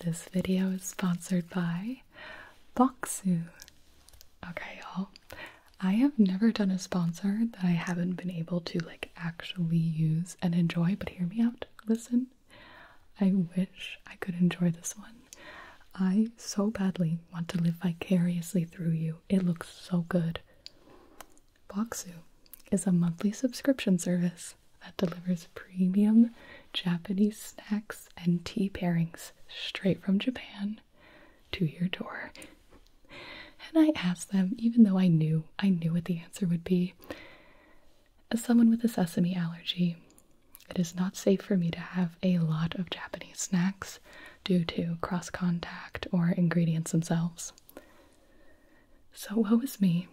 This video is sponsored by Boxu. Okay, y'all. I have never done a sponsor that I haven't been able to like actually use and enjoy, but hear me out. Listen. I wish I could enjoy this one. I so badly want to live vicariously through you. It looks so good. Boxu is a monthly subscription service that delivers premium Japanese snacks and tea pairings straight from Japan to your door. And I asked them, even though I knew, I knew what the answer would be. As someone with a sesame allergy, it is not safe for me to have a lot of Japanese snacks due to cross contact or ingredients themselves. So woe is me.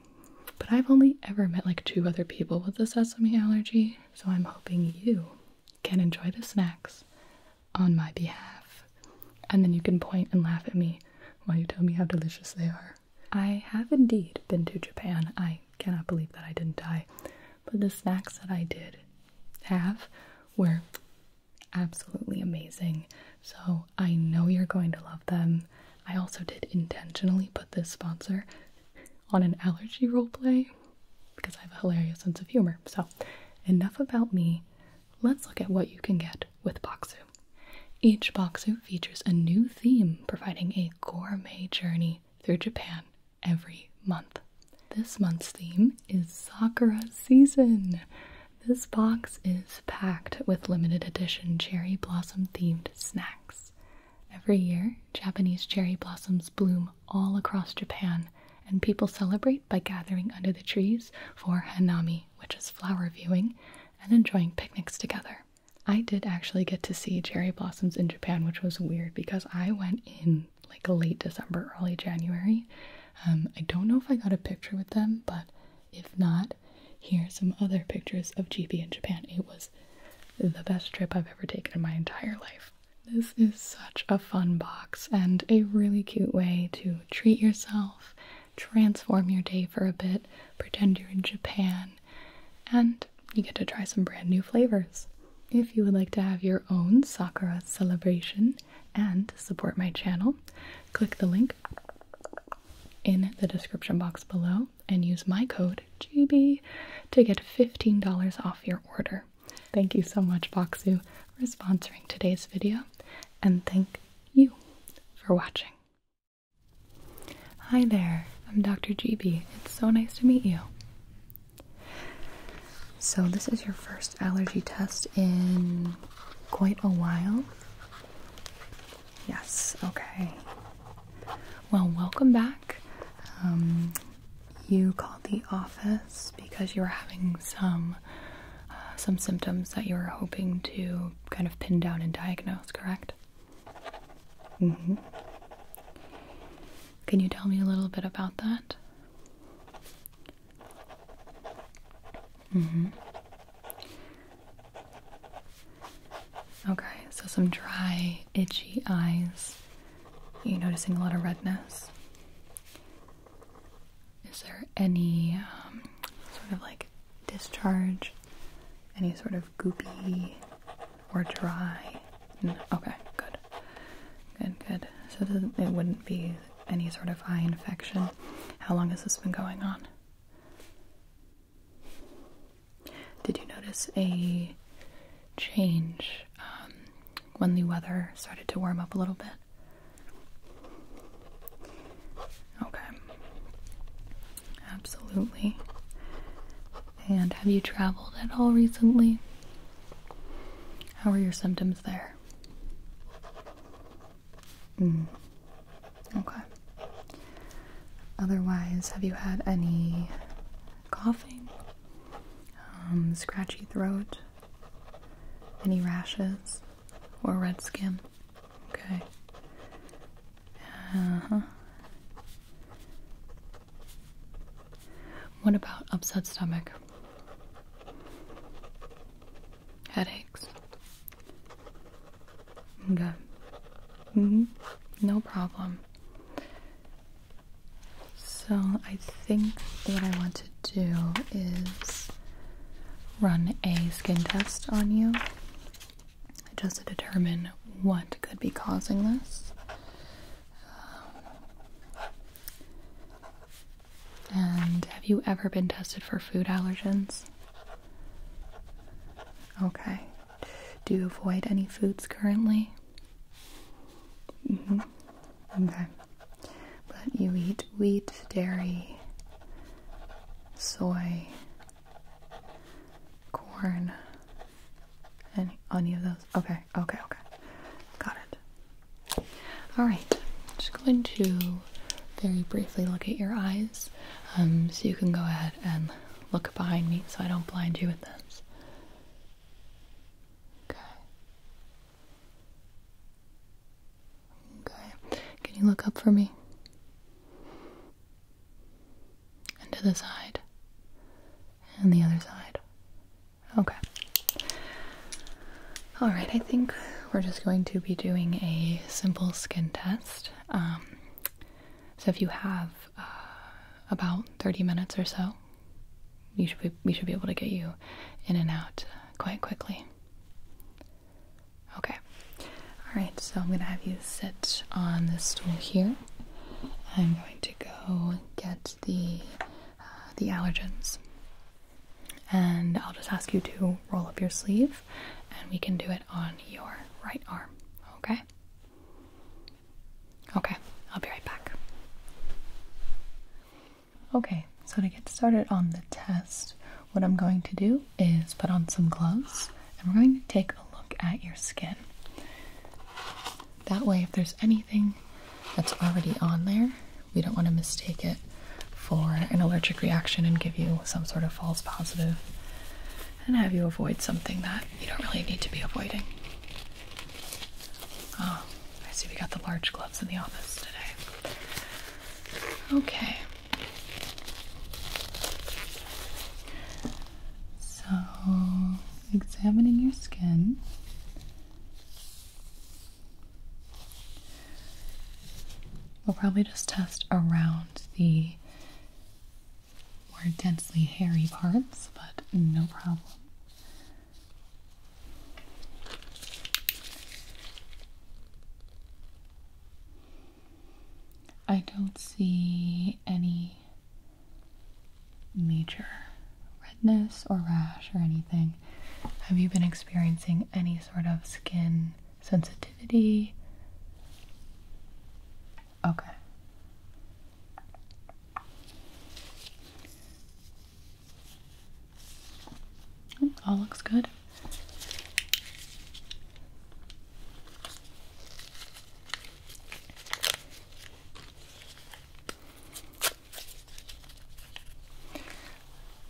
But I've only ever met like two other people with a sesame allergy, so I'm hoping you can enjoy the snacks on my behalf. And then you can point and laugh at me while you tell me how delicious they are. I have indeed been to Japan. I cannot believe that I didn't die. But the snacks that I did have were absolutely amazing. So I know you're going to love them. I also did intentionally put this sponsor on an allergy role play because I have a hilarious sense of humor. So, enough about me. Let's look at what you can get with Boxu. Each Boxu features a new theme, providing a gourmet journey through Japan every month. This month's theme is Sakura season. This box is packed with limited edition cherry blossom themed snacks. Every year, Japanese cherry blossoms bloom all across Japan, and people celebrate by gathering under the trees for hanami, which is flower viewing, and enjoying picnics together. I did actually get to see cherry blossoms in Japan, which was weird because I went in like late December, early January. Um, I don't know if I got a picture with them, but if not, here are some other pictures of GB in Japan. It was the best trip I've ever taken in my entire life. This is such a fun box and a really cute way to treat yourself, transform your day for a bit, pretend you're in Japan, and you get to try some brand new flavors. If you would like to have your own Sakura celebration and support my channel, click the link in the description box below and use my code GB to get $15 off your order. Thank you so much, Boxu, for sponsoring today's video, and thank you for watching. Hi there, I'm Dr. GB. It's so nice to meet you. So, this is your first allergy test in quite a while. Yes, okay. Well, welcome back. Um, you called the office because you were having some uh, some symptoms that you were hoping to kind of pin down and diagnose, correct? Mm-hmm. Can you tell me a little bit about that? Mm-hmm. Okay, so some dry, itchy eyes. Are you noticing a lot of redness? Is there any um, sort of like discharge? Any sort of goopy or dry? No. Okay, good. Good, good. So it wouldn't be any sort of eye infection. How long has this been going on? Did you notice a change um, when the weather started to warm up a little bit? Okay. Absolutely. And have you traveled at all recently? How are your symptoms there? Mm. Okay. Otherwise, have you had any coughing, um, scratchy throat, any rashes, or red skin? Okay. Uh huh. What about upset stomach? Headaches? Okay. Mm-hmm. No problem. So I think what I want to do is run a skin test on you just to determine what could be causing this. and have you ever been tested for food allergens? Okay. Do you avoid any foods currently? Mm -hmm. Okay. But you eat wheat, dairy, soy, corn, and any of those. Okay, okay, okay. Got it. All right. Just going to very briefly look at your eyes. Um, so you can go ahead and look behind me so I don't blind you with this. Okay. Okay. Can you look up for me? And to the side. And the other side. Okay. Alright, I think we're just going to be doing a simple skin test. Um, so if you have uh, about 30 minutes or so, you should we should be able to get you in and out quite quickly. Okay. All right, so I'm going to have you sit on this stool here. I'm going to go get the uh, the allergens. And I'll just ask you to roll up your sleeve and we can do it on your right arm, okay? Okay, I'll be right back. Okay, so to get started on the test, what I'm going to do is put on some gloves and we're going to take a look at your skin. That way, if there's anything that's already on there, we don't want to mistake it for an allergic reaction and give you some sort of false positive and have you avoid something that you don't really need to be avoiding. Oh, I see we got the large gloves in the office today. Okay. So, examining your skin. We'll probably just test around the more densely hairy parts, but no problem. I don't see any major redness or rash or anything. Have you been experiencing any sort of skin sensitivity. Okay. All looks good.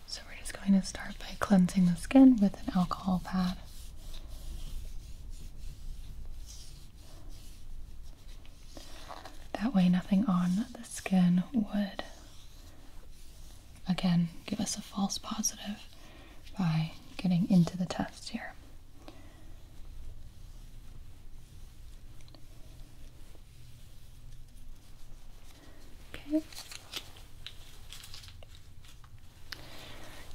So we're just going to start by cleansing the skin with an alcohol pad that. way, nothing on the skin would again give us a false positive by getting into the test here. Okay.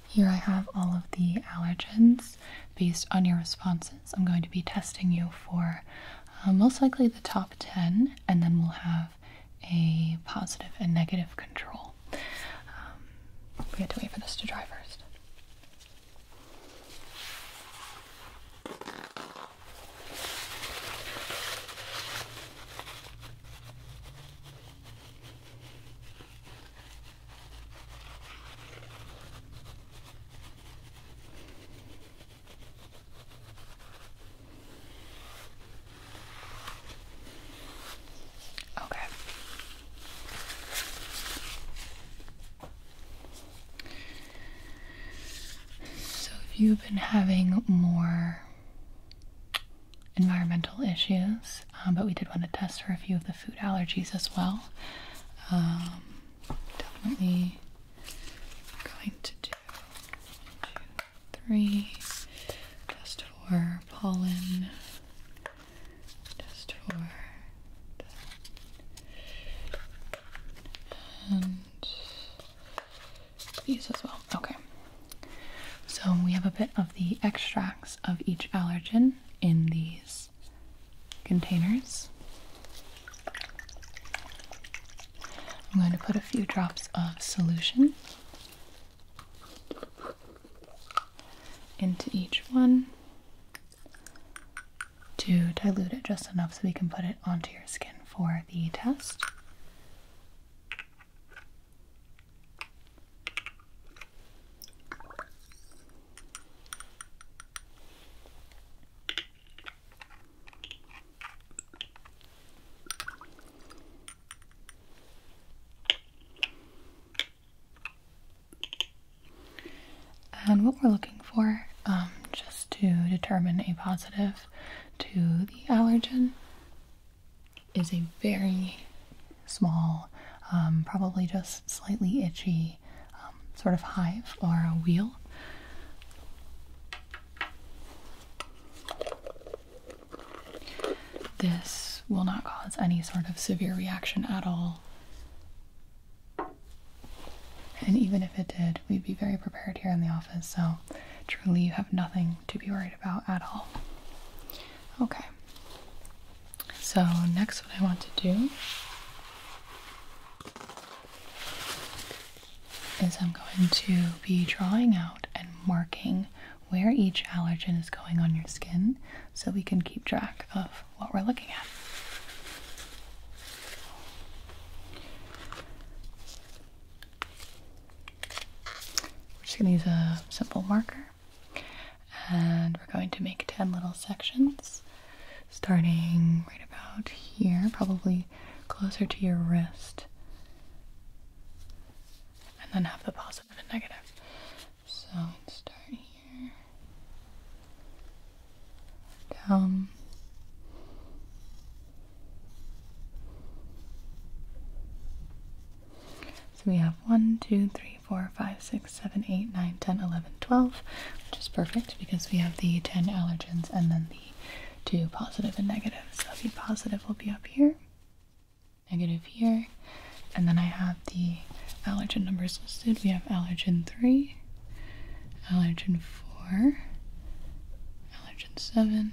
Here I have all of the allergens based on your responses. I'm going to be testing you for uh, most likely the top 10, and then we'll have a positive and negative control. Um, we have to wait for this to dry first. Okay. So, if you've been having more environmental issues, um, but we did want to test for a few of the food allergies as well. Um, definitely going to do two, three, test for pollen, test for and these as well. Okay. So we have a bit of the extracts of each allergen in these containers. I'm going to put a few drops of solution into each one to dilute it just enough so we can put it onto your skin for the test. And what we're looking for, um, just to determine a positive to the allergen, is a very small, um, probably just slightly itchy um, sort of hive or a wheel. This will not cause any sort of severe reaction at all. And even if it did, we'd be very prepared here in the office, so truly you have nothing to be worried about at all. Okay. So, next, what I want to do is I'm going to be drawing out and marking where each allergen is going on your skin so we can keep track of what we're looking at. We're just going to use a simple marker and we're going to make 10 little sections starting right about here, probably closer to your wrist, and then have the positive and negative. So start here, down. So we have 1, 2, 3, 4, 5, 6, 7, 8, 9, 10, 11, 12, which is perfect because we have the 10 allergens and then the 2 positive and negative. So the positive will be up here, negative here, and then I have the allergen numbers listed. We have allergen 3, allergen 4, allergen 7,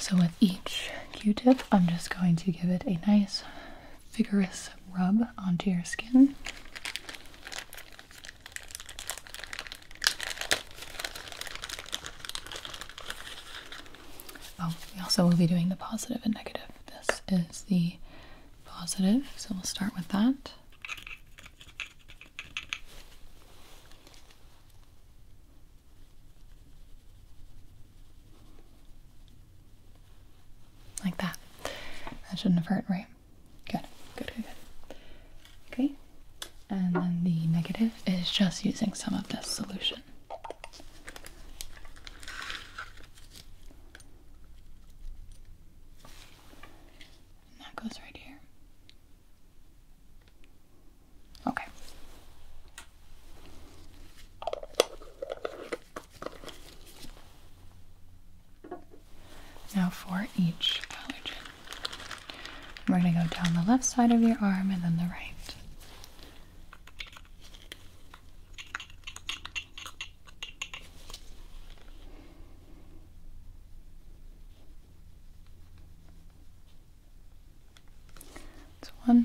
So, with each q tip, I'm just going to give it a nice, vigorous rub onto your skin. Oh, we also will be doing the positive and negative. This is the positive, so we'll start with that. Like that. That shouldn't have hurt, right? Good, good, good, Okay, and then the negative is just using some of this solution. And that goes right here. Okay. Now for each allergen. We're going to go down the left side of your arm and then the right. It's one. Go.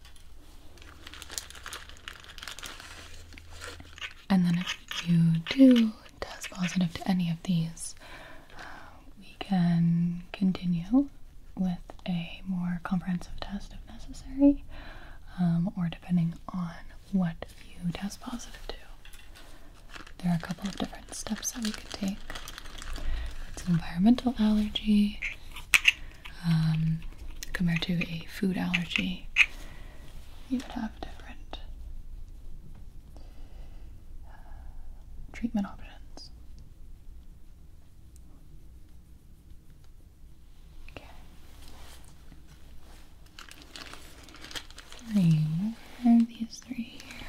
And then if you do test positive to any of these, uh, we can continue with a more comprehensive test if necessary, um, or depending on what you test positive to. There are a couple of different steps that we can take. It's an environmental allergy, um, compared to a food allergy, you would have different uh, treatment options. Okay. Three more these three here.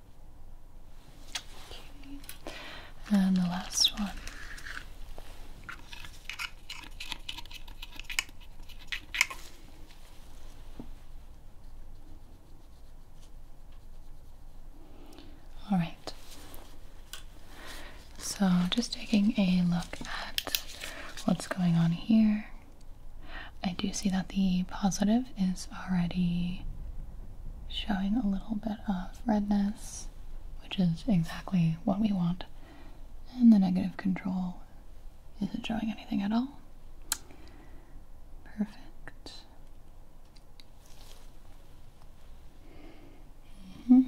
And the last one. All right. So, just taking a look at what's going on here. I do see that the positive is already showing a little bit of redness, which is exactly what we want. And the negative control isn't showing anything at all. Perfect. Mm-hmm.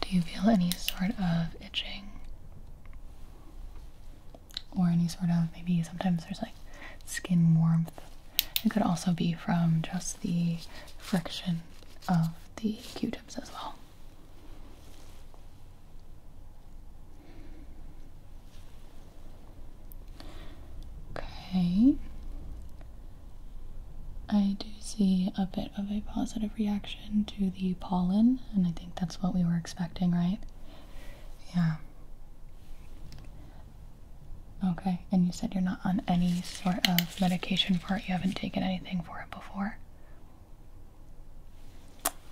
Do you feel any sort of itching? Or any sort of maybe sometimes there's like skin warmth. It could also be from just the friction of the q tips as well. Okay. I do see a bit of a positive reaction to the pollen, and I think that's what we were expecting, right? Yeah. Okay, and you said you're not on any sort of medication for it, you haven't taken anything for it before?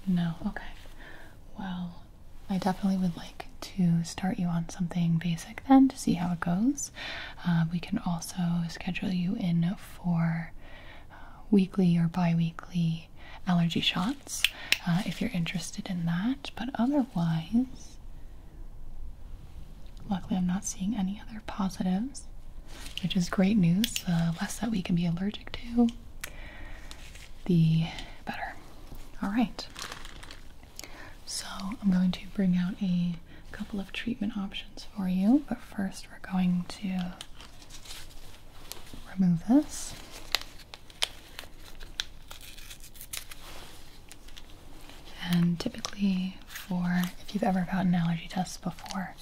No, okay. Well, I definitely would like to start you on something basic then to see how it goes. Uh, we can also schedule you in for uh, weekly or bi weekly allergy shots uh, if you're interested in that. But otherwise, luckily, I'm not seeing any other positives, which is great news. The less that we can be allergic to, the better. All right. So, I'm going to bring out a a couple of treatment options for you, but first we're going to remove this. And typically, for if you've ever gotten allergy tests before,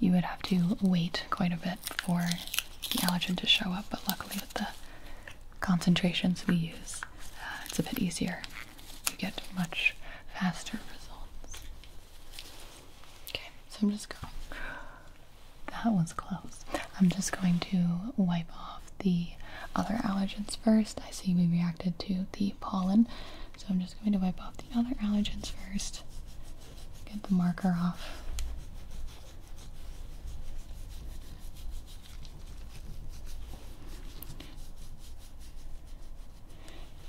you would have to wait quite a bit for the allergen to show up. But luckily, with the concentrations we use, uh, it's a bit easier you get much faster results. Okay, so I'm just going. That one's close. I'm just going to wipe off the other allergens first. I see we reacted to the pollen, so I'm just going to wipe off the other allergens first. Get the marker off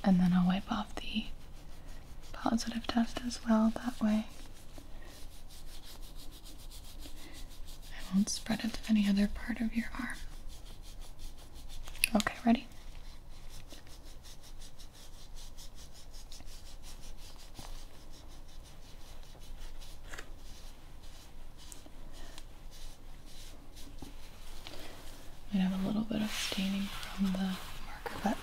and then I'll wipe off the positive test as well that way. I won't spread it to any other part of your arm. Okay, ready? Might have a little bit of staining from the marker, but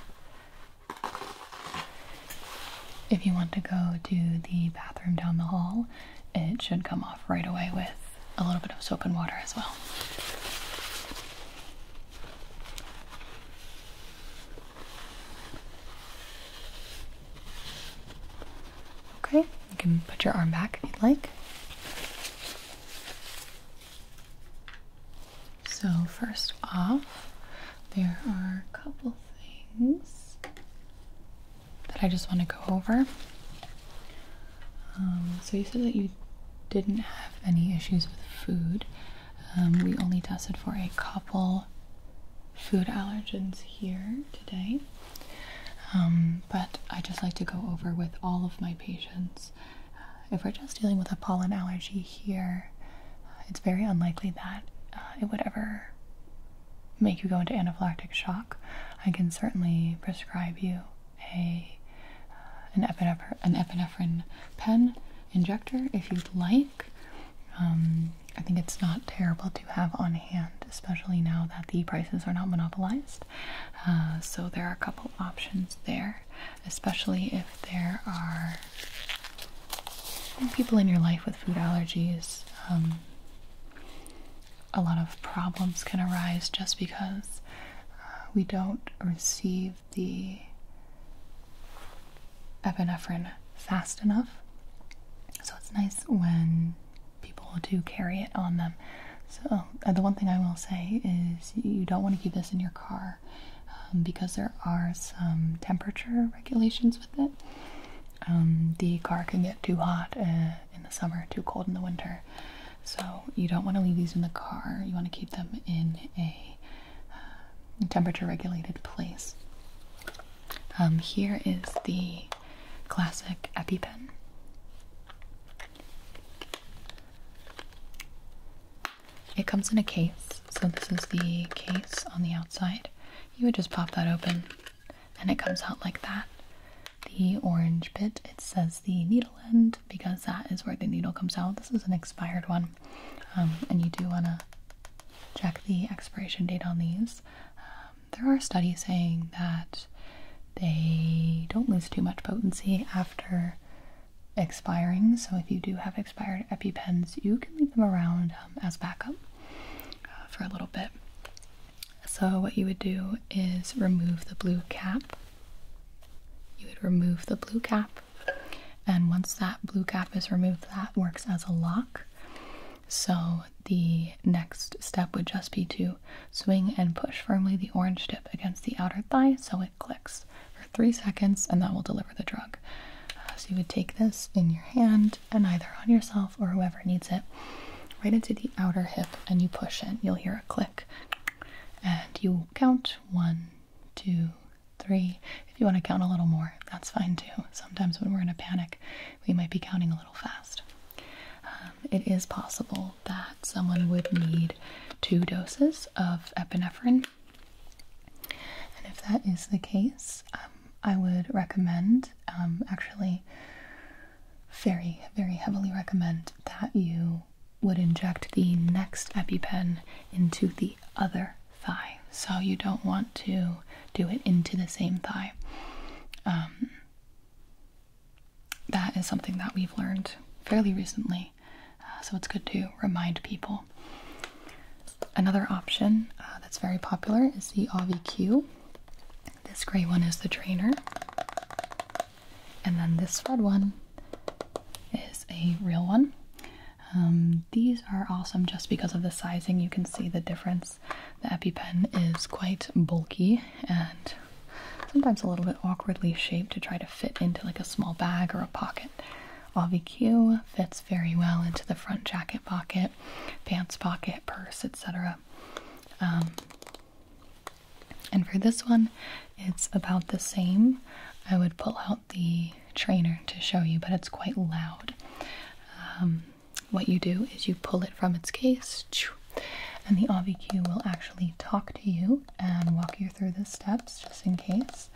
if you want to go to the bathroom down the hall, it should come off right away with a little bit of soap and water as well. Okay, you can put your arm back if you'd like. So, first off, there are a couple things that I just want to go over. Um, so, you said that you didn't have any issues with food. Um, we only tested for a couple food allergens here today. Um, but I just like to go over with all of my patients. Uh, if we're just dealing with a pollen allergy here, uh, it's very unlikely that uh, it would ever make you go into anaphylactic shock. I can certainly prescribe you a an, epinephrine pen injector if you'd like. Um, I think it's not terrible to have on hand, especially now that the prices are not monopolized. Uh, so there are a couple options there, especially if there are people in your life with food allergies. Um, a lot of problems can arise just because uh, we don't receive the epinephrine fast enough. So it's nice when people do carry it on them. So, uh, the one thing I will say is you don't want to keep this in your car um, because there are some temperature regulations with it. Um, the car can get too hot uh, in the summer, too cold in the winter. So, you don't want to leave these in the car. You want to keep them in a uh, temperature regulated place. Um, here is the classic EpiPen. It comes in a case, so this is the case on the outside. You would just pop that open and it comes out like that. The orange bit, it says the needle end because that is where the needle comes out. This is an expired one, um, and you do want to check the expiration date on these. Um, there are studies saying that they don't lose too much potency after expiring. So if you do have expired EpiPens, you can leave them around um, as backup uh, for a little bit. So what you would do is remove the blue cap. You would remove the blue cap, and once that blue cap is removed, that works as a lock. So the next step would just be to Swing and push firmly the orange tip against the outer thigh so it clicks for three seconds, and that will deliver the drug. Uh, so you would take this in your hand and either on yourself or whoever needs it, right into the outer hip, and you push in. You'll hear a click, and you count one, two, three. If you want to count a little more, that's fine too. Sometimes when we're in a panic, we might be counting a little fast. Um, it is possible that someone would need two doses of epinephrine. And if that is the case, um, I would recommend, um, actually, very, very heavily recommend that you would inject the next EpiPen into the other thigh. So you don't want to do it into the same thigh. Um, that is something that we've learned fairly recently, uh, so it's good to remind people. Another option uh, that's very popular is the AviQ. This gray one is the trainer, and then this red one is a real one. Um, these are awesome just because of the sizing. You can see the difference. The EpiPen is quite bulky and sometimes a little bit awkwardly shaped to try to fit into like a small bag or a pocket. AviQ fits very well into the front jacket pocket, pants pocket, purse, etc. Um, and for this one, it's about the same. I would pull out the trainer to show you, but it's quite loud. Um, what you do is you pull it from its case and the AVQ will actually talk to you and walk you through the steps just in case.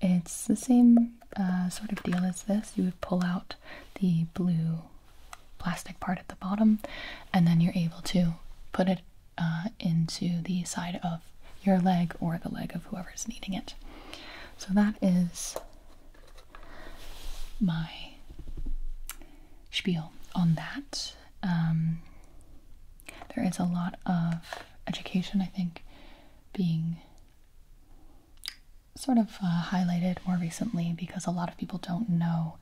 It's the same uh, sort of deal as this. You would pull out the blue plastic part at the bottom, and then you're able to put it uh, into the side of your leg or the leg of whoever's needing it. So that is my spiel on that. Um, there is a lot of education, I think, being sort of uh, highlighted more recently because a lot of people don't know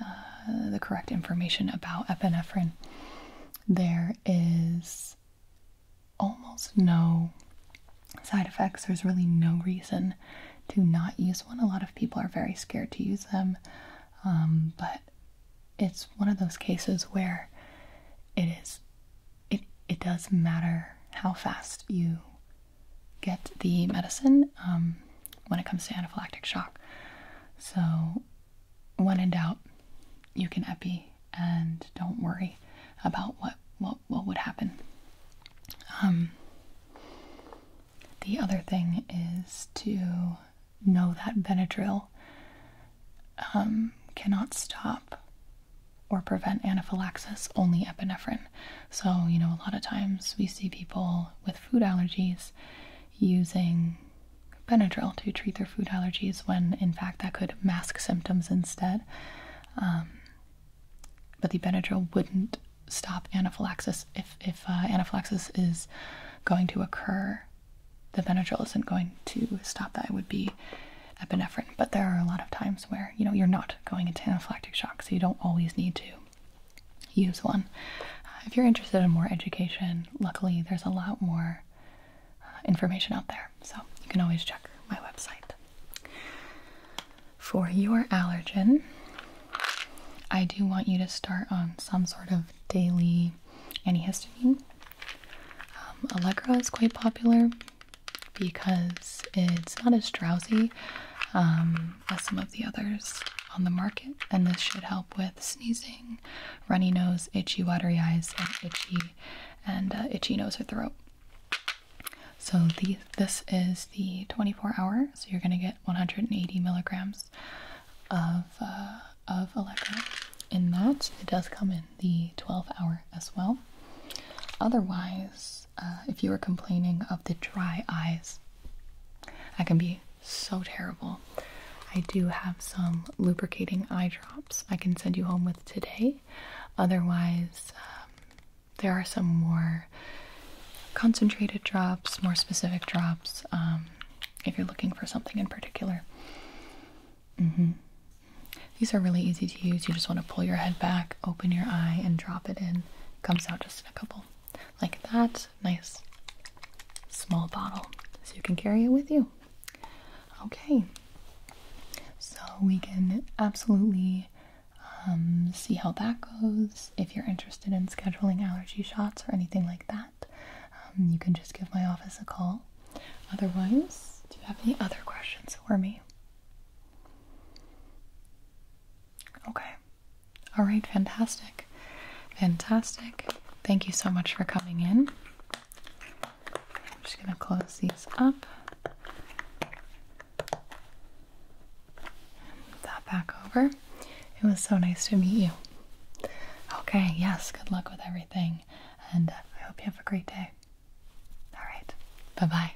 uh, the correct information about epinephrine. There is almost no side effects, there's really no reason to not use one. A lot of people are very scared to use them. Um, but it's one of those cases where it is it it does matter how fast you get the medicine um, when it comes to anaphylactic shock. So when in doubt, you can epi and don't worry about what what what would happen. Um, the other thing is to know that Benadryl um, cannot stop or prevent anaphylaxis, only epinephrine. So, you know, a lot of times we see people with food allergies using Benadryl to treat their food allergies when in fact that could mask symptoms instead. Um, but the Benadryl wouldn't stop anaphylaxis if if uh, anaphylaxis is going to occur. The Benadryl isn't going to stop that. It would be epinephrine, but there are a lot of times where you know you're not going into anaphylactic shock, so you don't always need to use one. Uh, if you're interested in more education, luckily there's a lot more uh, information out there, so you can always check my website. For your allergen, I do want you to start on some sort of daily antihistamine. Um, Allegra is quite popular because it's not as drowsy um, as some of the others on the market, and this should help with sneezing, runny nose, itchy, watery eyes, and itchy and uh, itchy nose or throat. So the, this is the 24 hour, so you're going to get 180 milligrams of uh, of Allegro. In that, it does come in the 12 hour as well. Otherwise, uh, if you are complaining of the dry eyes, that can be so terrible. I do have some lubricating eye drops I can send you home with today. Otherwise, um, there are some more concentrated drops, more specific drops, um, if you're looking for something in particular. Mm-hmm. These are really easy to use. You just want to pull your head back, open your eye, and drop it in. Comes out just in a couple. Like that. Nice small bottle. So you can carry it with you. Okay. So we can absolutely um, see how that goes if you're interested in scheduling allergy shots or anything like that, um, you can just give my office a call. Otherwise, do you have any other questions for me? Okay. All right, fantastic. Fantastic. Thank you so much for coming in. I'm just going to close these up that back over. It was so nice to meet you. Okay, yes, good luck with everything, and uh, I hope you have a great day. All right, bye bye.